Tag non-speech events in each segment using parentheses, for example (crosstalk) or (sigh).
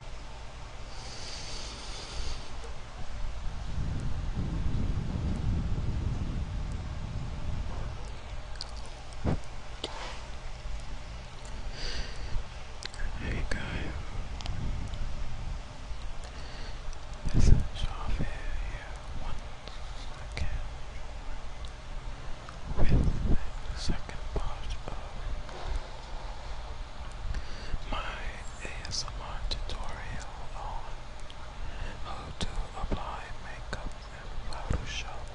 Hey guys, this is Javier here once with the second part my ASMR tutorial on how to apply makeup in Photoshop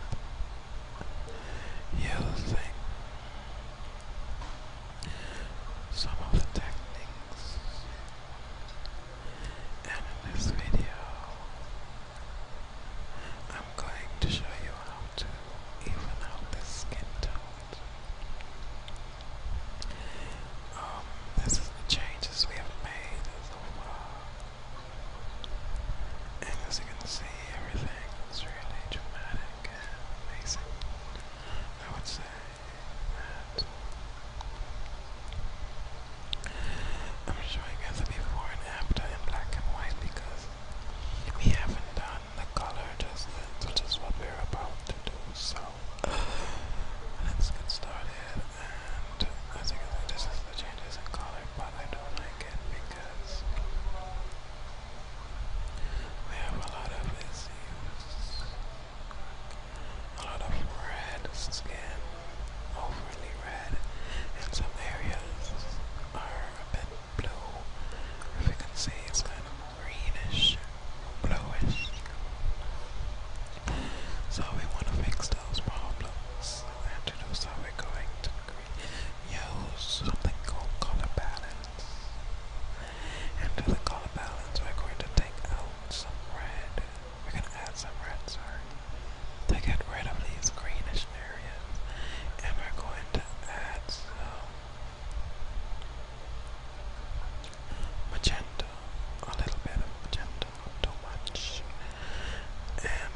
using some of the techniques and in this video I'm going to show you how to even out the skin tone um, this is the changes we have made And as you can see, everything is really dramatic and amazing. I would say that I'm showing you the before and after in black and white because we haven't done the color adjustment, which is what we're about to do. So let's get started. And as you can see, this is the changes in color, but I don't like it because we have a lot of issues, a lot of red skin, overly red, and some areas are a bit blue. If you can see, it's kind of greenish, bluish. So we want to fix those problems. And to do so, we're going to use something called color balance. And to the color balance, we're going to take out some red. We're going to add some red, sorry, to get rid of these greenish areas. And we're going to add some magenta, a little bit of magenta, not too much, and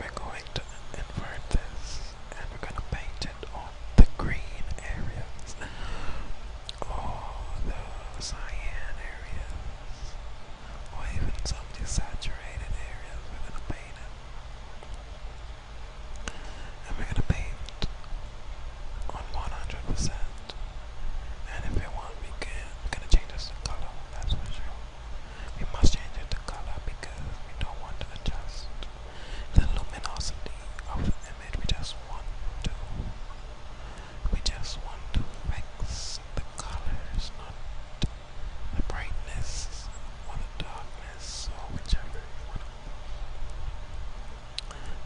we're going to invert this and we're going to paint it on the green areas, or the cyan areas, or even some desaturated areas, we're going to paint it and we gonna paint on 100%. And if we want, we can, we're gonna change this color, that's for sure. We must change it to color because we don't want to adjust the luminosity of the image. We just want to, we just want to fix the colors, not the brightness or the darkness or whichever you want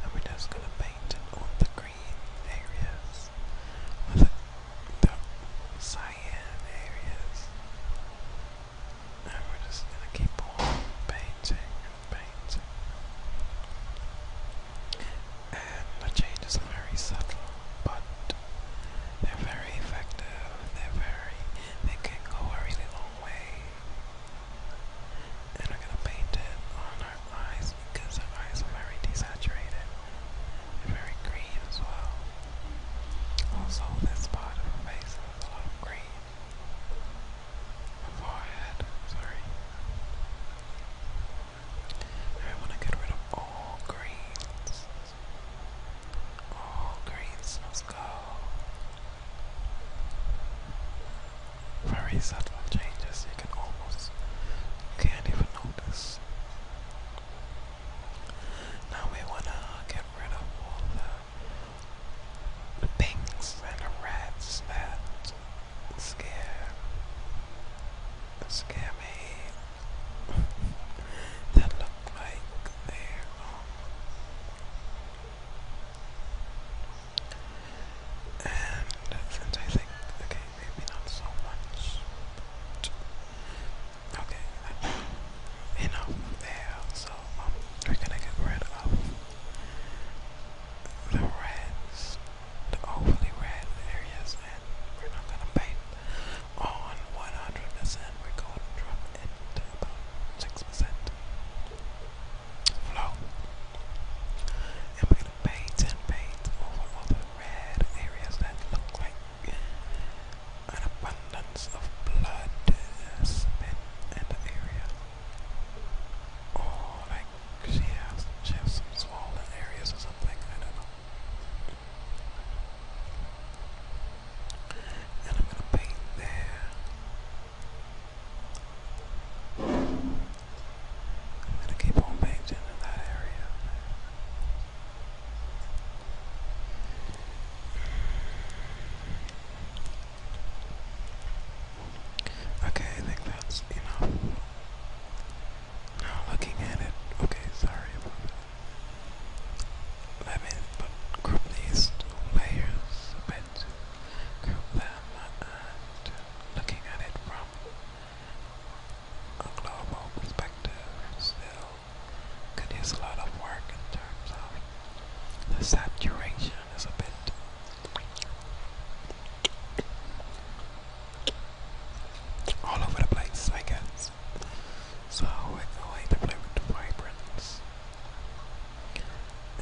and we're just gonna paint all the green areas with the, the cyan areas. And we're just gonna keep on painting and painting. And the changes are very subtle, but they're very effective. They're very, they can go a really long way. And I'm gonna paint it on our eyes because our eyes are very desaturated and very green as well. Also, this part of her face is a lot of green. forehead, sorry. I want to get rid of all greens. All greens must go. Very subtle changes, you can almost can't even notice. Now we wanna get rid of all the, the and the reds that scare scare me. (laughs) that look like they're um, and since I think, okay, maybe not so much, okay, that's enough there. So um, we're gonna get rid of the reds, the overly red areas, and we're not gonna paint on 100%. We're going to drop it to about 6% flow. And gonna paint and paint over all the red areas that look like an abundance of blood spit in the area. Or oh, like she has she has some swollen areas or something, I don't know. And I'm gonna paint there. I'm going to keep on banked in that area. Okay, I think that's enough. Now looking at it, okay, sorry about that. Let me put, group these two layers a bit it, curl looking at it from a global perspective still could a lot of work in terms of the saturation is a bit all over the place, I guess. So we're going to play with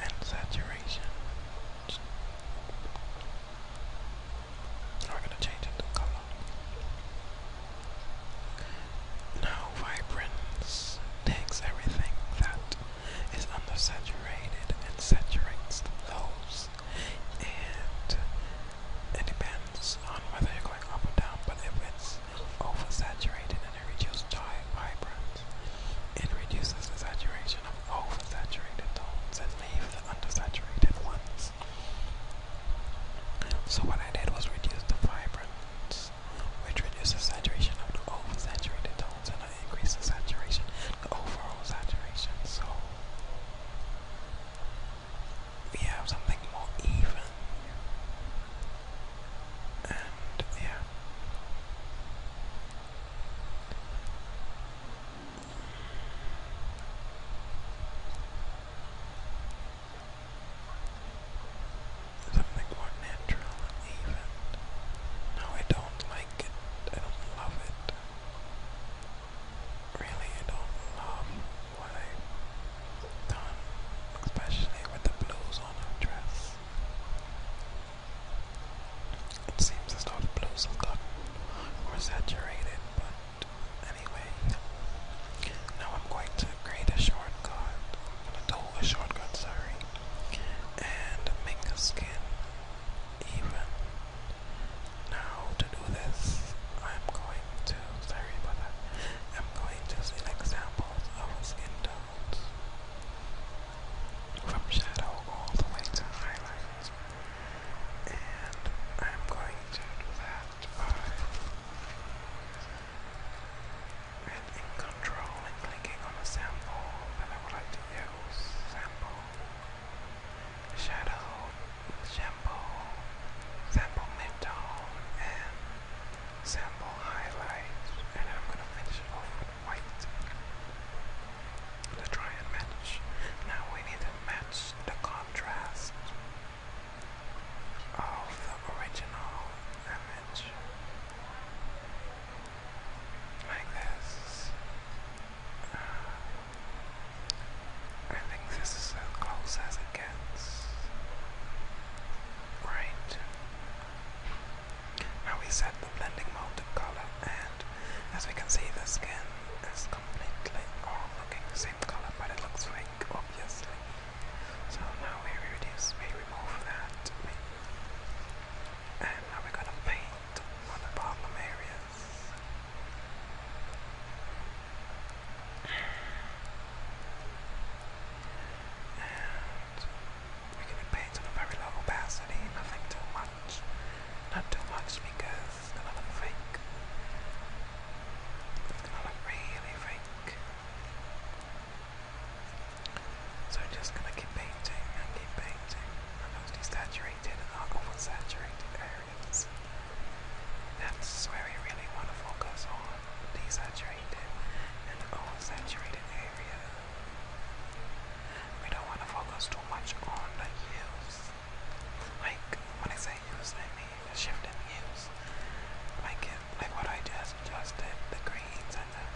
and saturation. We're gonna change it color. Now vibrance takes everything that is undersaturated and saturates those and it depends on whether you're going up or down but if it's oversaturated and it reduces dye vibrance. It reduces the saturation of oversaturated tones and leaves the undersaturated ones. So what I did was reduce the vibrance, which reduces the saturation of the oversaturated tones and I increase the saturation, the overall saturation. So we have something more even. And yeah, Something more natural even. No, I don't like it. I don't love it. Really, I don't love what I've done, especially with the blues on her dress. It seems as though the blues have gotten more saturated, but anyway. Now I'm going to create a shortcut. I'm gonna do shortcut, sorry. And make the skin even. Now to do this, I'm going to sorry about that. I'm going to select samples of a skin tone from shadow all the way to highlights. And I'm going to do that by in control and clicking on a sample that I would like to use. Sample, shadow, shampoo, sample midtone, and sample highlights. And I'm going to finish off white. Let's try and match. Now we need to match the contrast of the original image. Like this. Uh, I think this is as close as it gets. Right how we set the blending mode to color and as we can see the skin is completely all looking the same color but it looks fake obviously. So now we reduce, we remove that and now we're gonna paint on the problem areas. We're going to paint on a very low opacity, nothing too much. Not too much because it's going to look fake. It's going to look really fake. So we're just going to keep painting and keep painting on those desaturated and not oversaturated areas. That's where we really want to focus on desaturated and oversaturated areas. We don't want to focus too much on the hues. Like when I say hues, I mean the shift in heels. Like it, like what I just adjusted the greens and the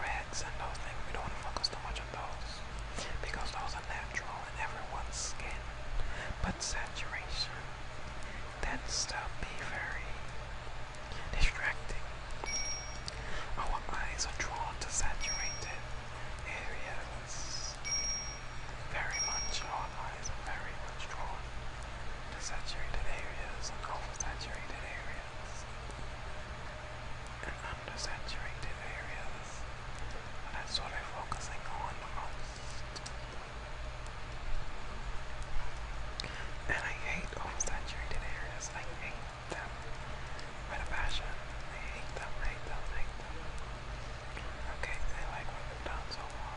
reds and those things. We don't want to focus too much on those because those are natural in everyone's skin. But saturation tends to be very distracting our eyes are drawn to saturated areas. Very much, our eyes are very much drawn to saturated areas and oversaturated areas and undersaturated areas. And that's what they're focusing on the most. And I hate oversaturated areas. I hate with a passion. I hate them, hate them, hate them. Okay, I like what they done so well.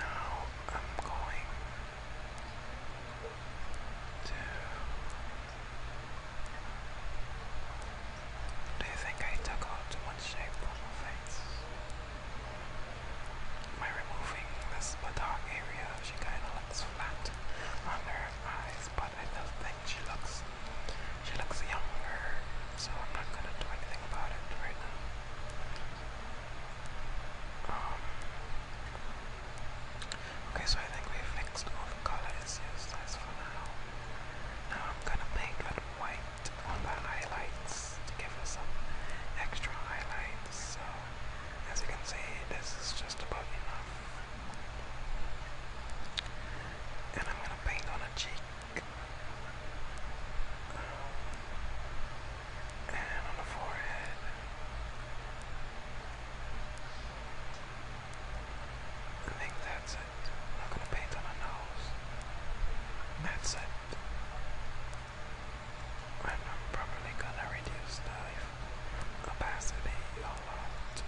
Now I'm going to. Do you think I took out too much shape from my face? By removing this dark area, she kind of looks flat on her eyes, but I still think she looks she looks younger, so I'm not gonna do anything about it right now. Um, okay, so I think we fixed all the color That's for now. Now I'm gonna paint with white on the highlights to give her some extra highlights. As you can see, this is just about enough. And I'm gonna paint on a cheek. and on the forehead. I think that's it. i gonna paint on a nose. That's it. I'm probably gonna reduce the opacity a lot.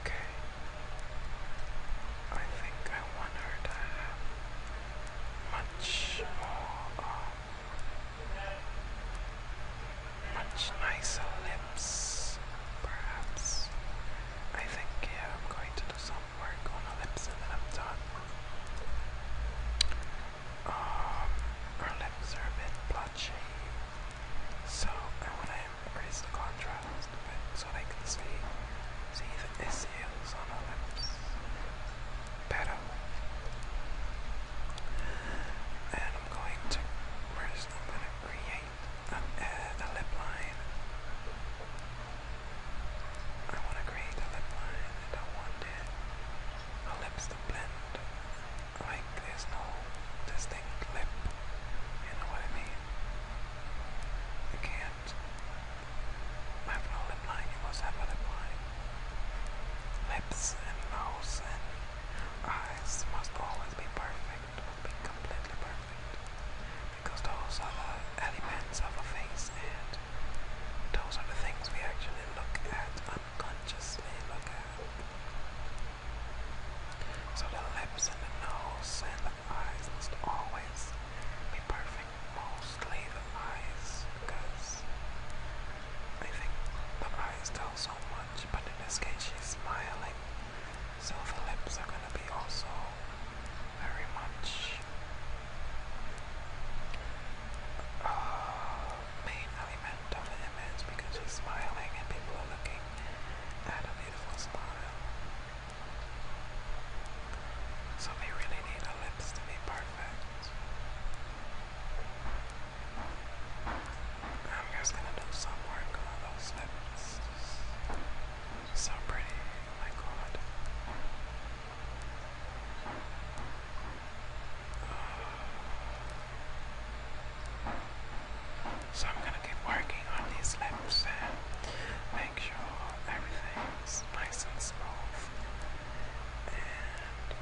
Okay. I think I want her to have much more, um, much nicer lips, perhaps. I think, yeah, I'm going to do some work on an episode that I'm done with. Um, our lip service, blood So I want to increase the contrast so they can see, see the SELs on our lips better. I'm going to first I'm going to create a, a, uh, a lip line I want to create lip line and I want it, my lips to blend. Like there's no distinct lip. You know what I mean? You can't have no lip line, you must have a lip line. Lips and nose and eyes must always be perfect, must be completely perfect. Because those are the elements of a face, and those are the things we actually look at unconsciously. Look at so the lips and the nose and the eyes must always be perfect. Mostly the eyes, because I think the eyes tell so much. But in this case, she's smiling, so the lips are gonna be also very much Oh, main element of an image because he's smiling and people are looking at a beautiful smile. So they really need her lips to be perfect. I'm just gonna do some work on those lips. So pretty, oh my god. So I'm gonna keep working on these lips and make sure everything's nice and smooth. And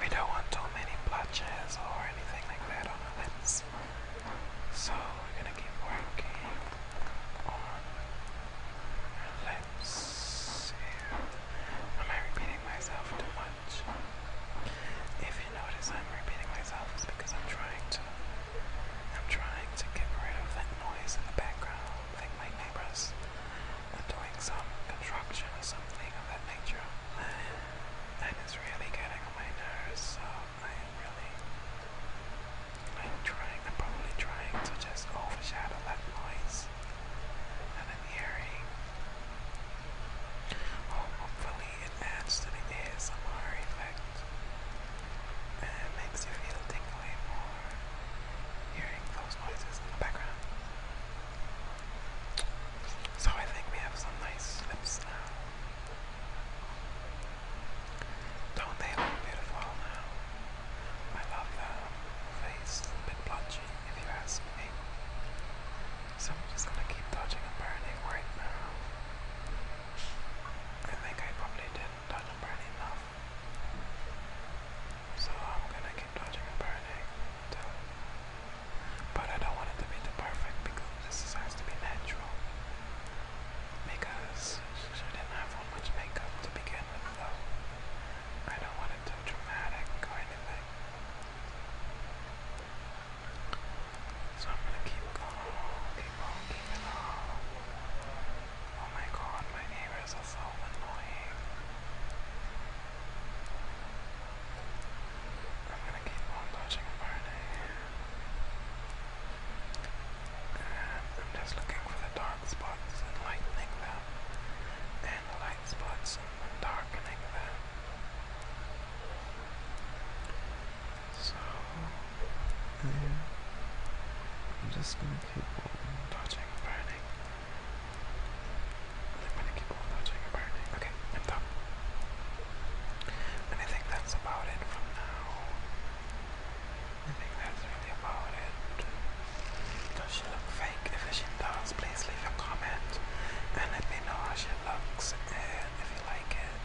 we don't want too many blotches or anything like that on our lips. So we're gonna keep working arm and lips Am I repeating myself too much? If you notice I'm repeating myself, because I'm trying to. I'm trying to get rid of that noise in the background. Like my neighbors doing some construction or something of that nature. And really getting on my nerves, so I am really I'm trying, I'm probably trying to just overshadow that noise. And i hearing. hopefully it adds to the ASMR effect. And makes you feel tingly more hearing those noises in the background. So I think we have some nice lips now. Don't they look beautiful now? I love that. face, a little bit punchy, if you ask me. So I'm just gonna keep dodging and burning right now. I think I probably didn't dodge and burn enough. So I'm gonna keep dodging and burning but I don't want it to be too perfect because this has to be natural. Because she didn't have much makeup to begin with I don't want it too dramatic or anything. So I'm gonna keep going, keep on, keep on. Oh my god, my neighbors are so annoying. I'm gonna keep on dodging and burning. And I'm just looking for the dark spots and lightening them and the light spots and darkening that. So, I'm just gonna keep on touching, burning. I'm gonna keep on touching and burning. Okay, I'm done. And I think that's about it from now. Does she look fake? If she does, please leave a comment and let me know how she looks and uh, if you like it.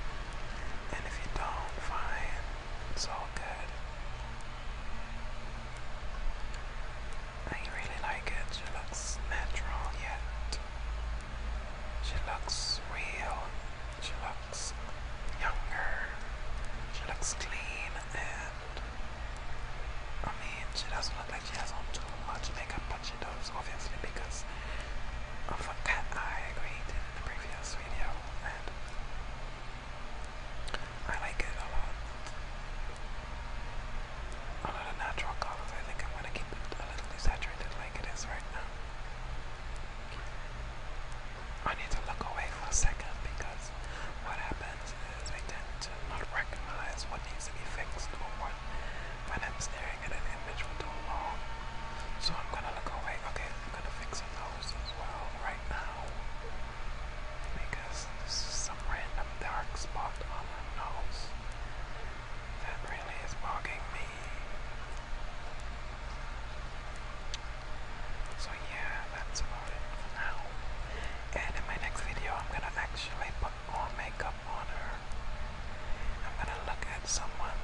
And if you don't, fine. It's all good. I really like it. She looks natural yet. She looks real. She looks younger. She looks clean and I mean, she doesn't look like she has on too much makeup, but she does, obviously, because of a cat I created in the previous video, and I like it a lot. A lot of natural colors, I think I'm gonna keep it a little desaturated like it is right now. I need to look away for a second because what happens we tend to not recognize what needs to be fixed or what when I'm staring at an image for too long. So I'm gonna look away, okay, I'm gonna fix some nose as well right now. Because there's some random dark spot on my nose that really is bugging me. So yeah, that's about it for now. And in my next video, I'm gonna actually put more makeup on her. I'm gonna look at someone.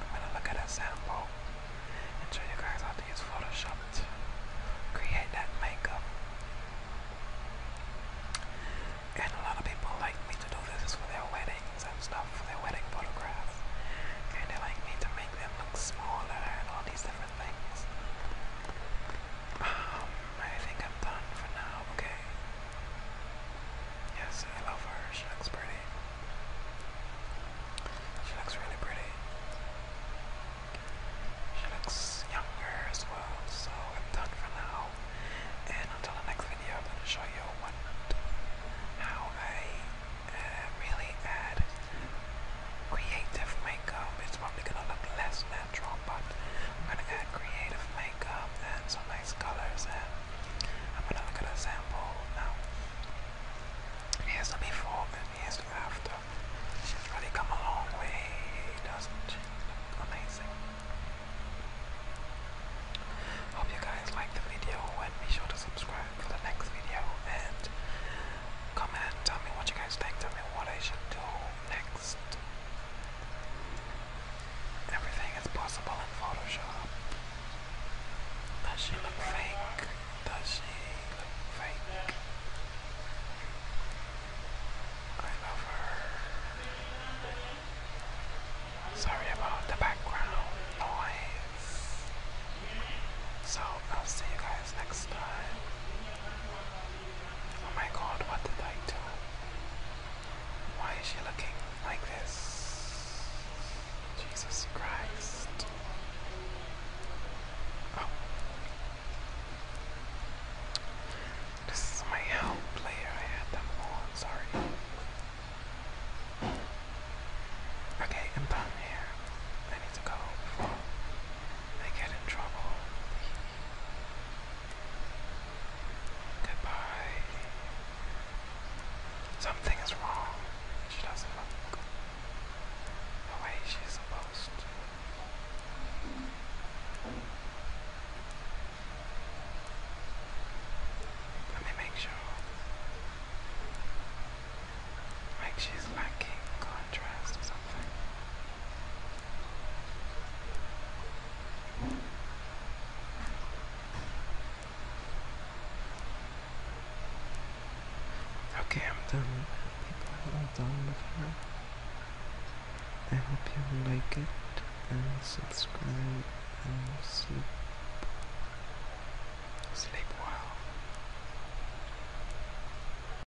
I'm gonna look at a sample and show you guys how to use Photoshop to create that makeup. And a lot of people like me to do this for their weddings and stuff, for their wedding photographs. And they like me to make them look smaller and all these different things. Um, I think I'm done for now, okay? Yes, I love her. She looks pretty. She looks really pretty. She looks younger as well, so I'm done for now. And until the next video, I'm going to show you what, how I uh, really add creative makeup. It's probably gonna look less natural, but I'm gonna add creative makeup and some nice colors. And I'm gonna look at a sample now. Here's the before and here's the after. She's really come a long way, doesn't she? Look amazing. Hope you guys liked the video and be sure to subscribe for the next video and Come Comment, tell me what you guys think, tell me what I should do next. Everything is possible in Photoshop. Does she look fake? Does she look fake? I love her. Sorry about the background noise. So I'll see you guys next time. Oh my god, what did I do? Why is she looking like this? Jesus Christ. Oh. This is my help player. I had them on, sorry. Okay, I'm done here. I need to go they get in trouble. Goodbye. Something is wrong. She doesn't look the way she's supposed Let me make sure. Like she's lacking contrast or something. Okay, I'm done I'm done with her. I hope you like it and subscribe and sleep. Sleep well.